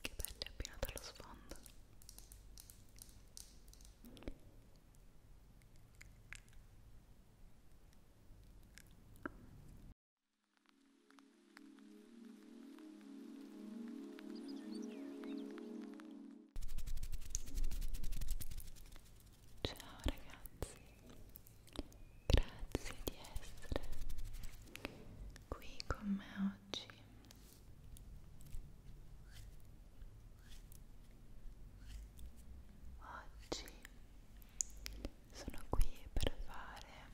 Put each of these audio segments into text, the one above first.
Che bello abbinato allo sfondo. Ciao ragazzi, grazie di essere qui con me oggi. Oggi sono qui per fare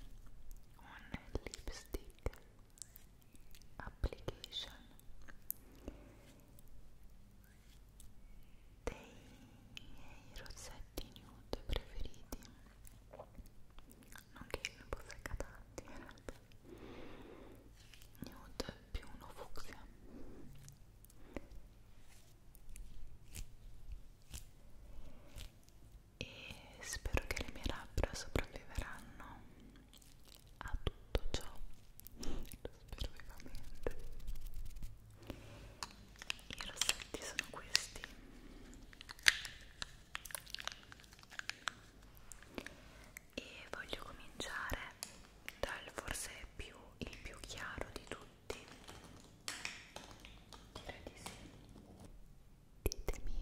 un lipstick application dei miei rossetti nude preferiti non che io ne possegga tanti in realtà nude più uno fucsia e spero che le mie labbra sopravviveranno a tutto ciò lo spero vivamente i rossetti sono questi e voglio cominciare dal forse più il più chiaro di tutti direi di sì ditemi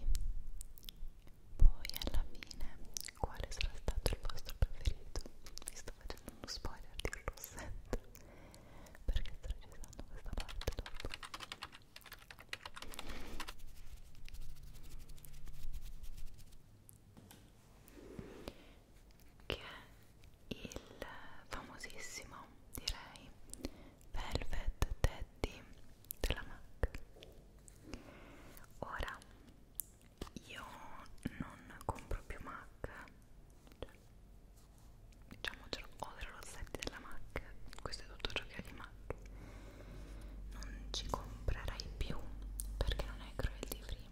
poi alla fine quale sarà stato il vostro preferito? Mi sto facendo uno spoiler di un rossetto perché sto registrando questa parte dopo che è il famosissimo direi Velvet Teddy della MAC ora io non compro più MAC cioè, diciamo ho delle rossette della MAC questo è tutto ciò che ho di MAC non ci comprerai più perché non è cruelty free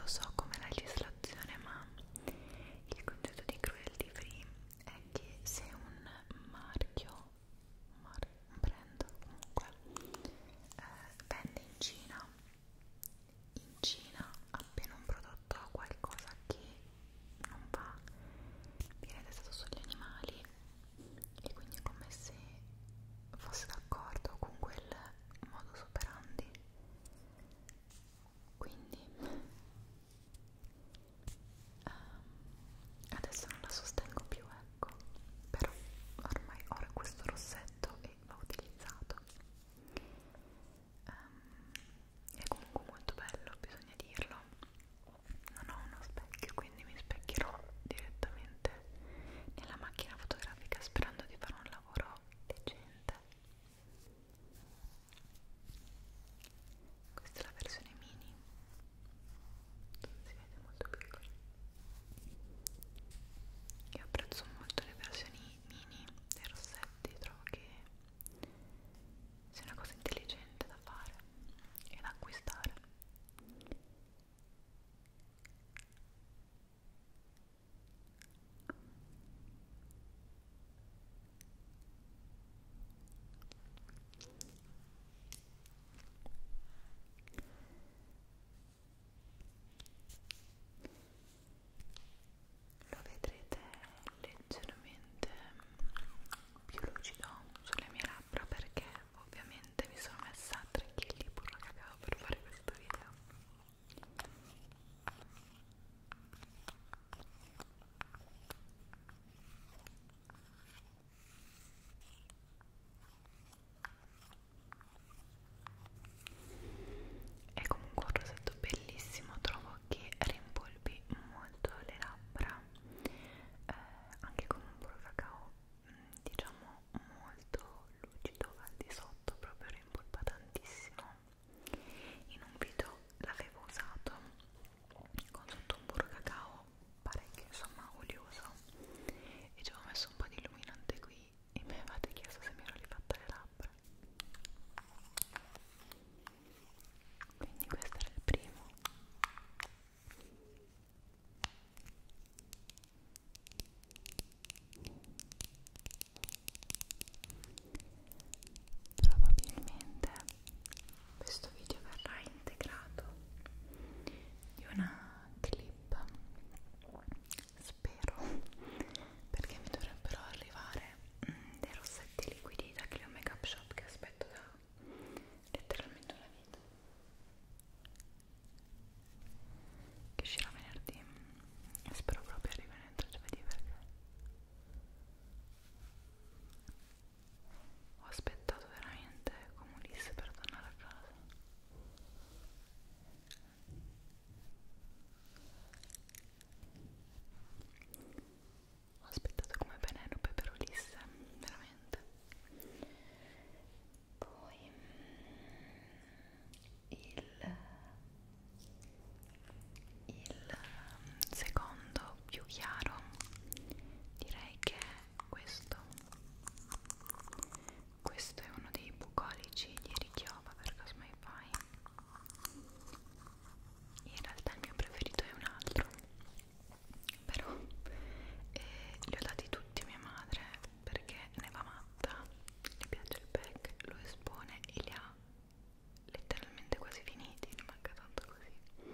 lo so come legislazione ma il concetto di cruelty free è che se un marchio, un, mar un brand comunque, eh, vende in Cina, in Cina appena un prodotto ha qualcosa che non va, viene testato sugli animali e quindi è come se fosse d'accordo con quel modo superandi quindi Um, adesso non la sostengo più, ecco, però ormai ho questo rossetto e l'ho utilizzato. Um, è comunque molto bello, bisogna dirlo. Non ho uno specchio, quindi mi specchierò direttamente nella macchina fotografica sperando di fare un lavoro decente questa è la versione mini non si vede molto piccola io apprezzo molto le versioni mini dei rossetti trovo che sia una cosa intelligente da fare e da acquistare lo vedrete leggermente più lucido sulle mie labbra perché ovviamente mi sono messa 3 kg burro cacao per fare questo video è comunque un rosetto bellissimo, trovo che rimpolpi molto le labbra, eh, anche con un burro cacao mm, diciamo molto lucido al di sotto, proprio rimpolpa tantissimo. In un video l'avevo usato con sotto un burro cacao parecchio insomma olioso e ci avevo messo un po' di illuminante qui e mi avevate chiesto se mi ero rifatta le labbra quindi questo era il primo probabilmente questo video verrà integrato di una clip spero perché mi dovrebbero arrivare mm, dei rossetti liquidi da Clio Makeup Shop che aspetto da letteralmente una vita che uscirà venerdì e spero proprio arrivino entro giovedì perché ho aspettato veramente come Ulisse per tornare a casa. Ho aspettato come Penelope per Ulisse, veramente. Poi mm, il, il mm, secondo po' più chiaro direi che è questo questo è uno dei bucolici di Richiova per Cosmai Fai in realtà il mio preferito è un altro però eh, li ho dati tutti a mia madre perché ne va matta le piace il pack, lo espone e li ha letteralmente quasi finiti ne manca tanto così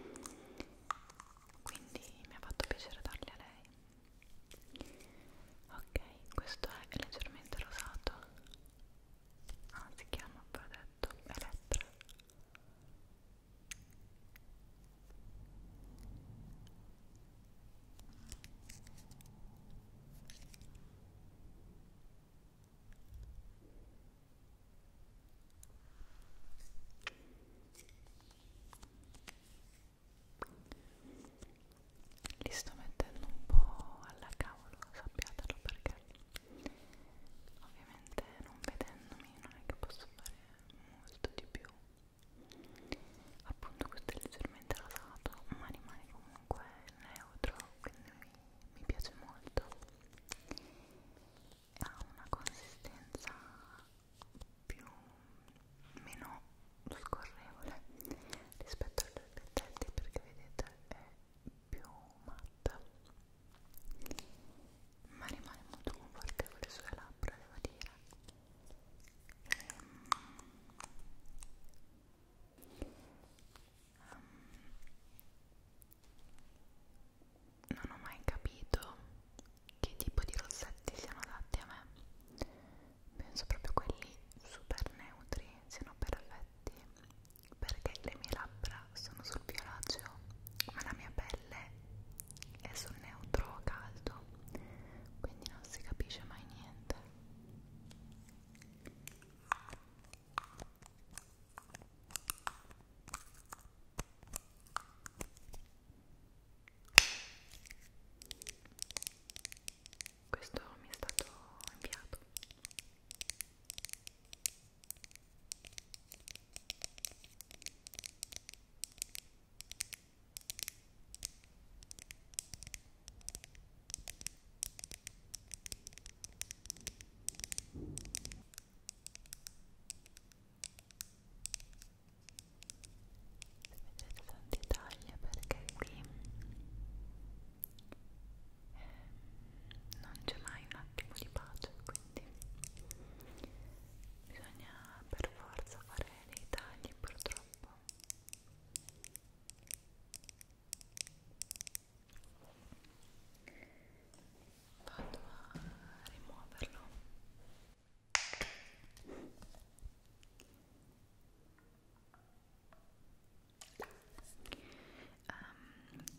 quindi mi ha fatto piacere darli a lei ok questo è leggermente rosato ah si chiama ho detto Elettra li sto mettendo un po' alla cavolo, sappiatelo perché ovviamente non vedendomi non è che posso fare molto di più. Appunto questo è leggermente rosato, ma rimane comunque neutro, quindi mi, mi piace molto ha una consistenza più meno scorrevole rispetto agli albergetti perché vedete è più matta ma rimane molto confortevole sulle labbra devo dire ehm, Um, non ho mai capito che tipo di rossetti siano adatti a me penso proprio quelli super neutri siano perfetti perché le mie labbra sono sul violaceo ma la mia pelle è sul neutro caldo quindi non si capisce mai niente questo mi è stato inviato vedete tanti tagli perché qui eh, non c'è mai un attimo di pace quindi bisogna per forza fare dei tagli purtroppo vado a rimuoverlo um,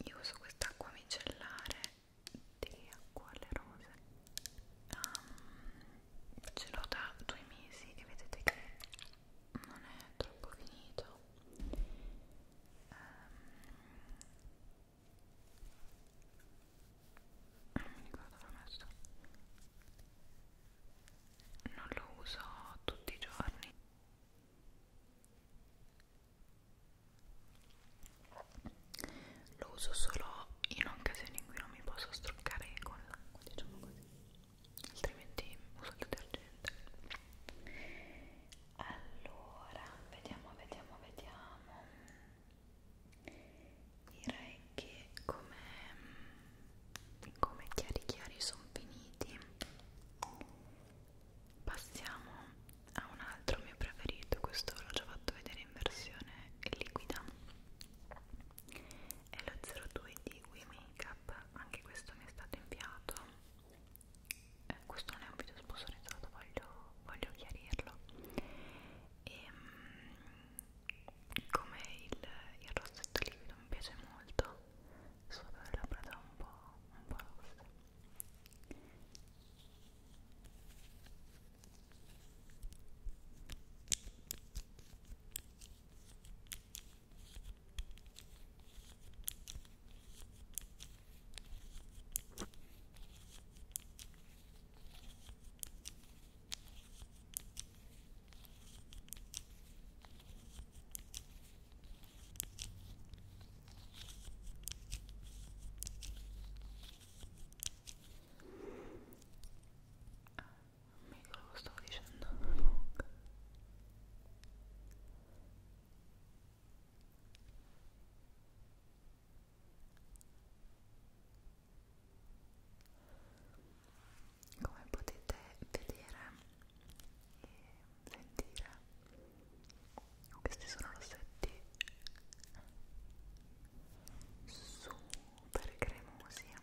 io uso quest'acqua micellare di acqua alle rose um, ce l'ho da due mesi e vedete che non è troppo finito um, non mi ricordo dove l'ho messo non lo uso tutti i giorni lo uso solo in occasioni in cui non mi posso struccare con l'acqua diciamo così altrimenti uso il detergente allora vediamo vediamo vediamo direi che come, come chiari chiari sono finiti passiamo a un altro mio preferito questo l'ho già fatto vedere in versione liquida è lo 02 di We Makeup anche questo mi è stato inviato eh, questo non è un video sponsorizzato voglio, voglio chiarirlo e ehm, mh, come il, il rossetto liquido mi piace molto sulla labbra da un po', un po rossa mica lo stavo dicendo come potete vedere e sentire questi sono rossetti super cremosi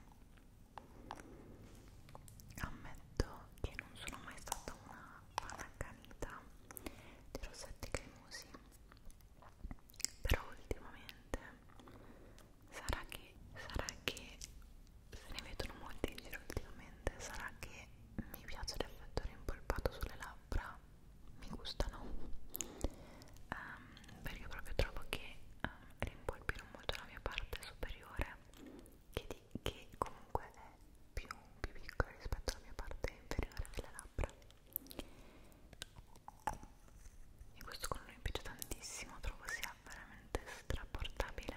ammetto che non sono mai stata una fan accanita di rossetti cremosi però ultimamente sarà che sarà che se ne vedono molti in giro ultimamente sarà che mi piace l'effetto rimpolpato sulle labbra mi gustano um, perché proprio trovo che um, ehm, rimpolpino molto la mia parte superiore che, di, che comunque è più, più piccola rispetto alla mia parte inferiore delle labbra e questo colore mi piace tantissimo trovo sia veramente straportabile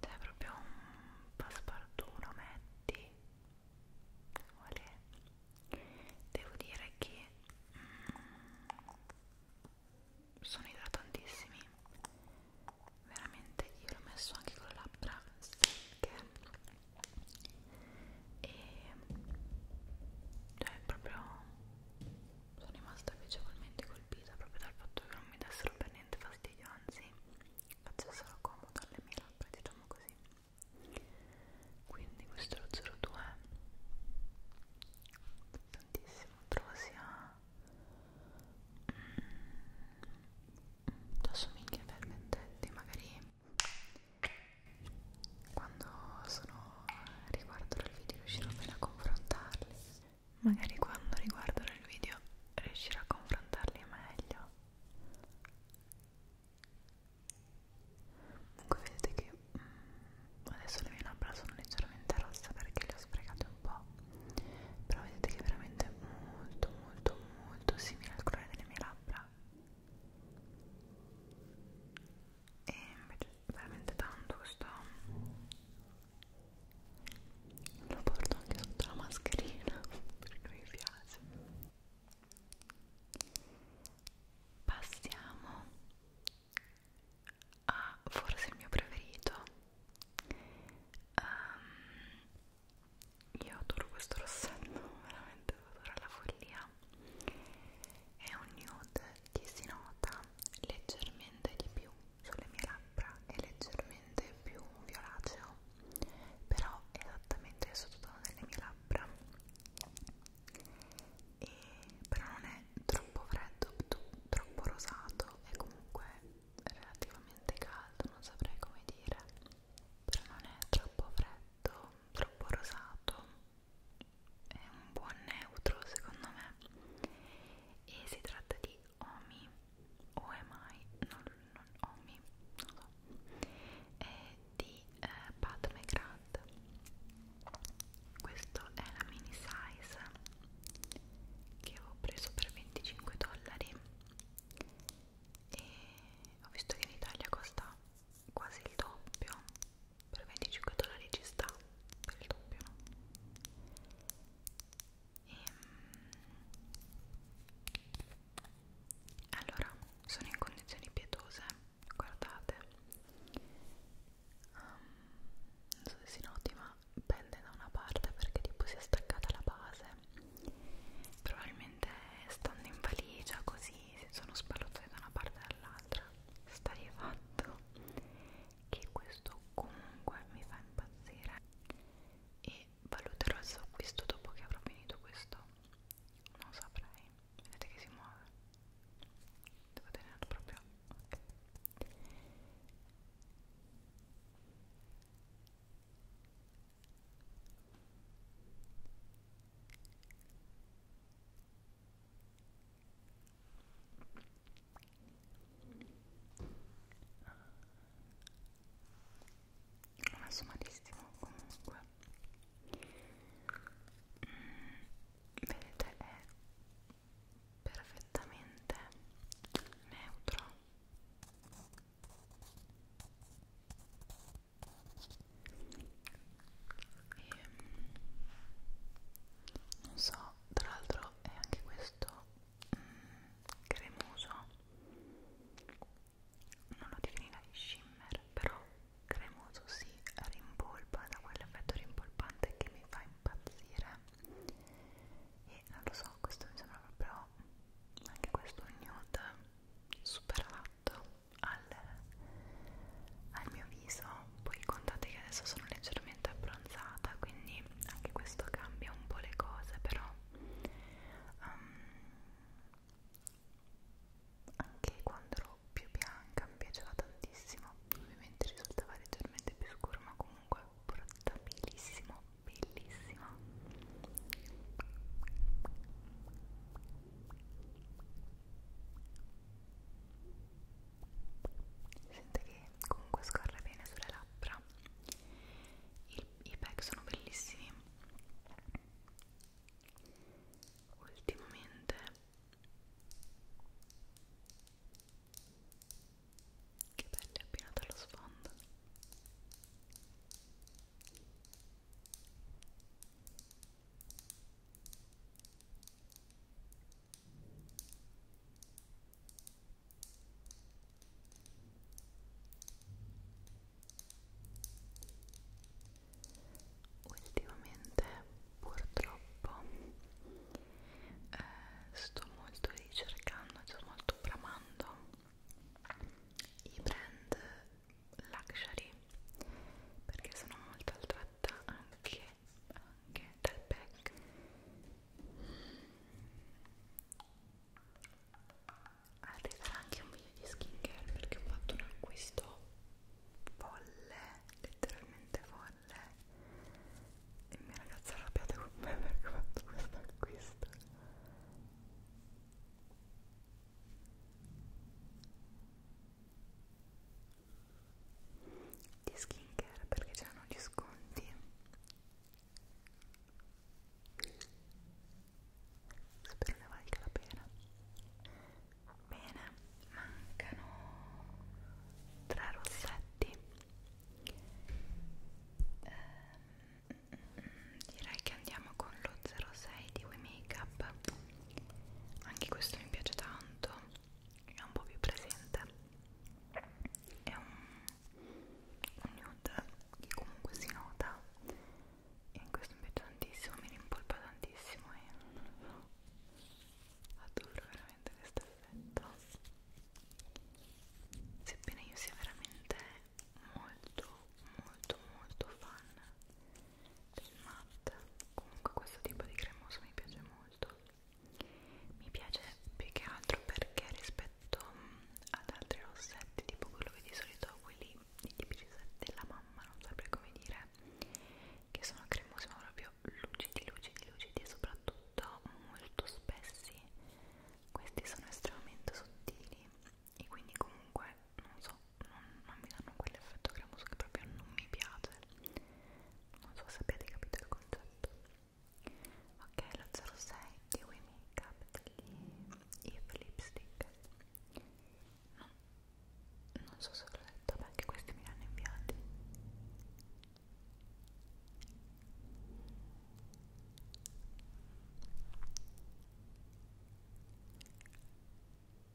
cioè proprio un passepartout lo metti Olè. devo dire che mm, sono idratantissimi veramente io l'ho messo anche con le labbra secche e cioè proprio sono rimasta piacevolmente colpita proprio dal fatto che non mi dessero per niente fastidio anzi facessero comodo alle mie labbra diciamo così quindi questo è lo 02 tantissimo trovo sia mm, mm assomiglia veramente magari quando sono riguarderò il video riuscirò bene a confrontarli magari quando riguarderò il video riuscirò a confrontarli meglio comunque vedete che mm, adesso le mie labbra sono leggermente rosse perché le ho sfregate un po' però vedete che è veramente molto molto molto simile al colore delle mie labbra e mi piace veramente tanto questo lo porto anche sotto la mascherina perché mi piace passiamo a forse il mio preferito um, io adoro questo rossetto veramente lo adoro alla follia è un nude che si nota leggermente di più sulle mie labbra è leggermente più violaceo però è esattamente il sottotono delle mie labbra e però non è troppo freddo troppo rosato è comunque relativamente caldo non saprei come dire però non è troppo freddo pigmento troppo rosato è un buon neutro secondo me e si tratta di Omi o è mai non, non Omi non so è di eh, Pat McGrath questo è la mini size che ho preso per 25 dollari e ho visto che in Italia costa quasi il doppio per 25 dollari ci sta per il doppio no? e, ehm, allora sono in condizioni pietose guardate um, non so se si noti ma pende da una parte perché tipo si è staccata la base probabilmente stando in valigia così si sono spallottati da una parte e dall'altra sta di fatto che questo comunque mi fa impazzire e valuterò il suo acquisto dopo che avrò finito questo non saprei vedete che si muove devo tenerlo proprio okay. L'ho messo malissimo comunque mm, vedete è perfettamente neutro e, ehm, non so, tra l'altro è anche questo mm, cremoso non lo definirei shimmer però cremoso si sì, rimpolpa da quell'effetto rimpolpante che mi fa impazzire e non lo so questo mi sembra proprio anche questo nude superato al, al mio viso poi contate che adesso sono leggermente abbronzata quindi anche questo cambia un po' le cose però um, anche quando ero più bianca mi piaceva tantissimo ovviamente risultava leggermente più scuro ma comunque portabilissimo bellissimo Sente che comunque scorre bene sulle labbra. Il, I pack sono bellissimi. Ultimamente che belli appena dallo sfondo. Ultimamente purtroppo eh, sto molto ricercando, sto molto bramando i brand luxury perché sono molto attratta anche, anche dal pack arriverà anche un video di skincare perché ho fatto un acquisto folle letteralmente folle e mia ragazza è arrabbiata con me perché ho fatto questo acquisto di skincare perché c'erano gli sconti spero ne valga la pena bene mancano tre rossetti ehm direi che andiamo con lo 06 di We Makeup anche questo mi piace tanto è un po' più presente è un, un nude che comunque si nota e questo mi piace tantissimo mi rimpolpa tantissimo e non lo so adoro veramente questo effetto sebbene io sia veramente molto molto molto fan del matte comunque questo tipo di cremoso mi piace molto mi piace più che altro perché rispetto mm, ad altri rossetti tipo quello che di solito ho quelli i tipici rossetti della mamma non saprei come dire che sono cremosi ma proprio lucidi lucidi lucidi e soprattutto molto spessi questi sono estremamente sottili e quindi comunque non so, non, non mi danno quell'effetto cremoso che proprio non mi piace non so se abbiate capito il concetto ok, lo 06 di Wii Makeup degli Eve Lipstick no, non so se l'ho detto, beh anche questi mi li hanno inviati non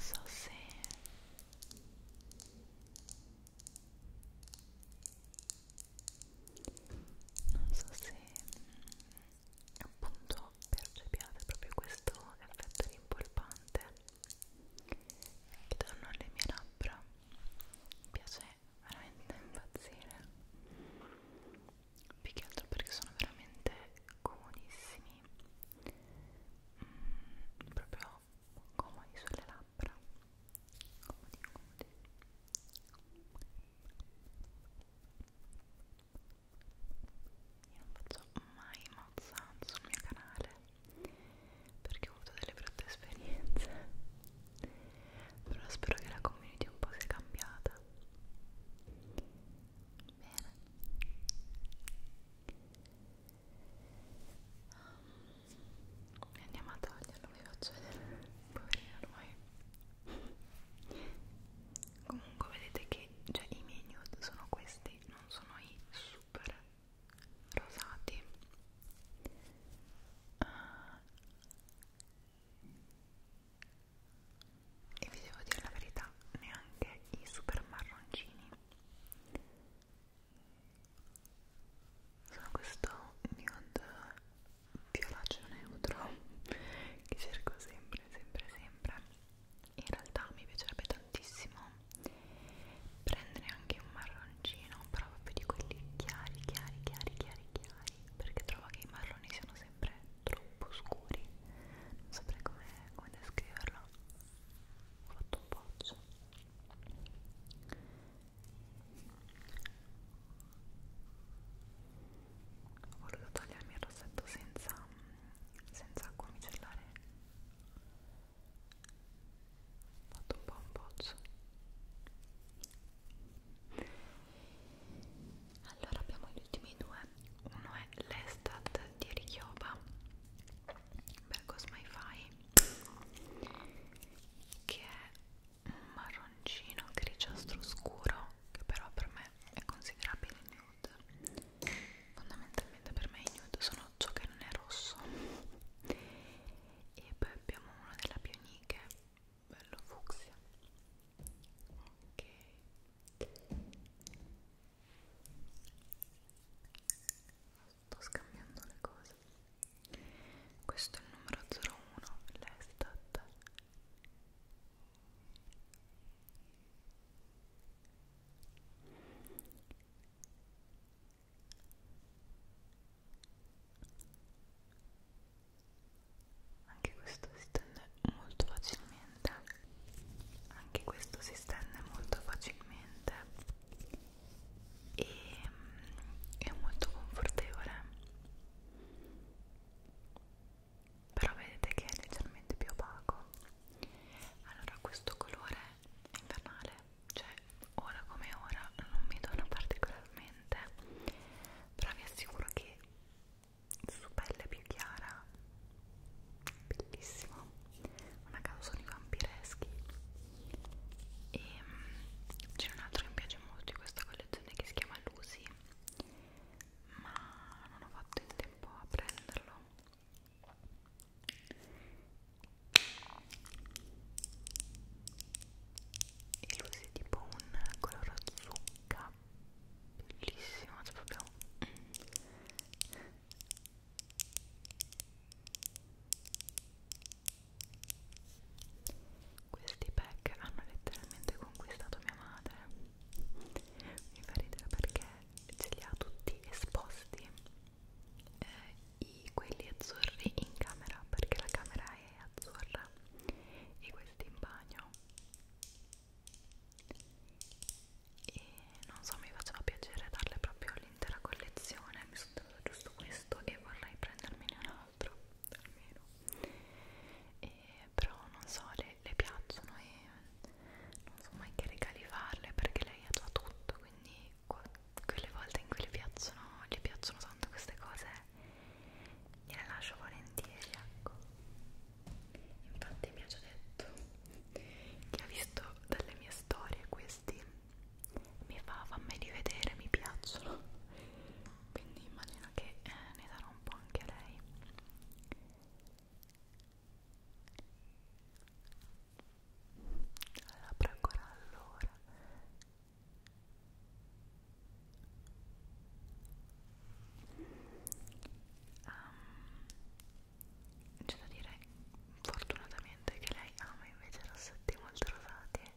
so se non so se appunto percepiate proprio questo effetto rimpolpante che danno alle mie labbra mi piace veramente impazzire più che altro perché sono veramente comodissimi mm, proprio comodi sulle labbra comodi comodi io non faccio mai mozzan sul mio canale perché ho avuto delle brutte esperienze. Però spero che la community un po' sia cambiata. Bene. Um, andiamo a toglierlo, vi faccio vedere. Poverino ormai comunque vedete che già i miei nude sono questi non sono i super rosati uh, e vi devo dire la verità neanche i super marroncini sono questo nude violaceo neutro che cerco sempre, sempre, sempre in realtà mi piacerebbe tantissimo prendere anche un marroncino però proprio di quelli chiari, chiari, chiari, chiari, chiari perché trovo che i marroni siano sempre troppo scuri non saprei come, come descriverlo ho fatto un boccio ho voluto tagliarmi il rossetto senza, senza acqua micellare ho fatto un po' un bozzo allora abbiamo gli ultimi due uno è l'Estat di Richioba Bergos Maifai che è un marroncino grigiastro scuro che però per me è considerabile nude fondamentalmente per me i nude sono ciò che non è rosso e poi abbiamo uno della Bioniche bello fucsia ok sto scambiando le cose questo è il numero 01 l'estat anche questo si stende molto facilmente. Anche questo si stende molto facilmente e mm, è molto confortevole però vedete che è leggermente più opaco allora questo colore è invernale cioè ora come ora non mi dona particolarmente però vi assicuro che su pelle più chiara bellissimo una causa di vampireschi e mm, c'è un altro che mi piace molto di questa collezione che si chiama Lucy ma non ho fatto in tempo a prenderlo e lui è tipo un color zucca bellissimo cioè proprio questi pack hanno letteralmente conquistato mia madre mi fa ridere perché ce li ha tutti esposti eh, i, quelli azzurri in camera perché la camera è azzurra e questi in bagno e non so mi faceva piacere darle proprio l'intera collezione mi sono dato giusto questo e vorrei prendermene un altro almeno e però non so, le, le piacciono e non so mai che regali farle perché lei ha già tutto, quindi quelle volte in cui le piacciono, le piacciono tanto queste cose gliele lascio volentieri, ecco. Infatti mi ha già detto che ha visto dalle mie storie questi mi fa, fammi rivedere, mi piacciono quindi immagino che eh, ne darò un po' anche a lei Apro ancora allora. Um, c'è da dire fortunatamente che lei ama invece rossetti molto rosati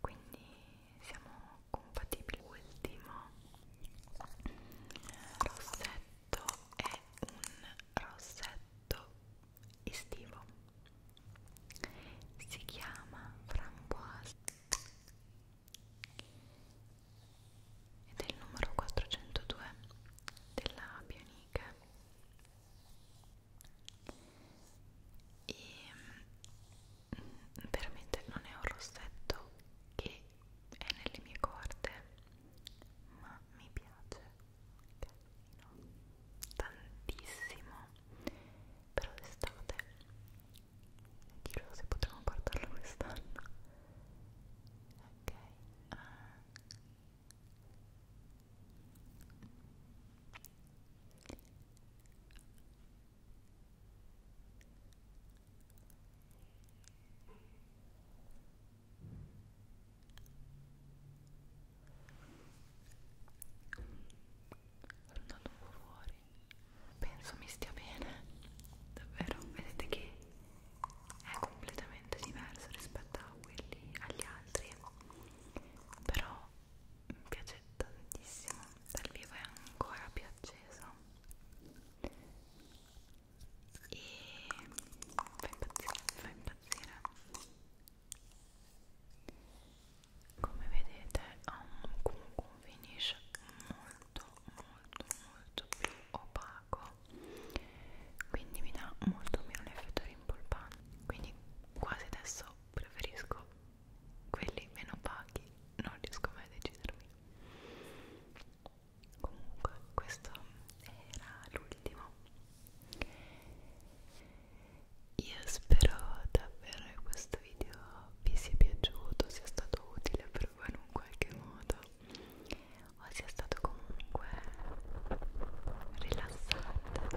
quindi siamo compatibili ultimo rossetto è un rossetto estivo si chiama framboise ed è il numero 402 della Bioniche e veramente non è un rossetto che è nelle mie corde ma mi piace Casino. tantissimo però d'estate chissà se potremo portarlo quest'anno ok uh andato un po' fuori penso mi stia bene davvero vedete che è completamente diverso rispetto a quelli agli altri però mi piace tantissimo dal vivo è ancora più acceso e fa impazzire, fa impazzire come vedete ha un, comunque un finish molto molto molto più opaco quindi mi dà molto meno l'effetto rimpolpante quindi quasi adesso preferisco quelli meno paghi non riesco mai a decidermi comunque questo era l'ultimo io spero davvero che questo video vi sia piaciuto sia stato utile per voi in un qualche modo o sia stato comunque rilassante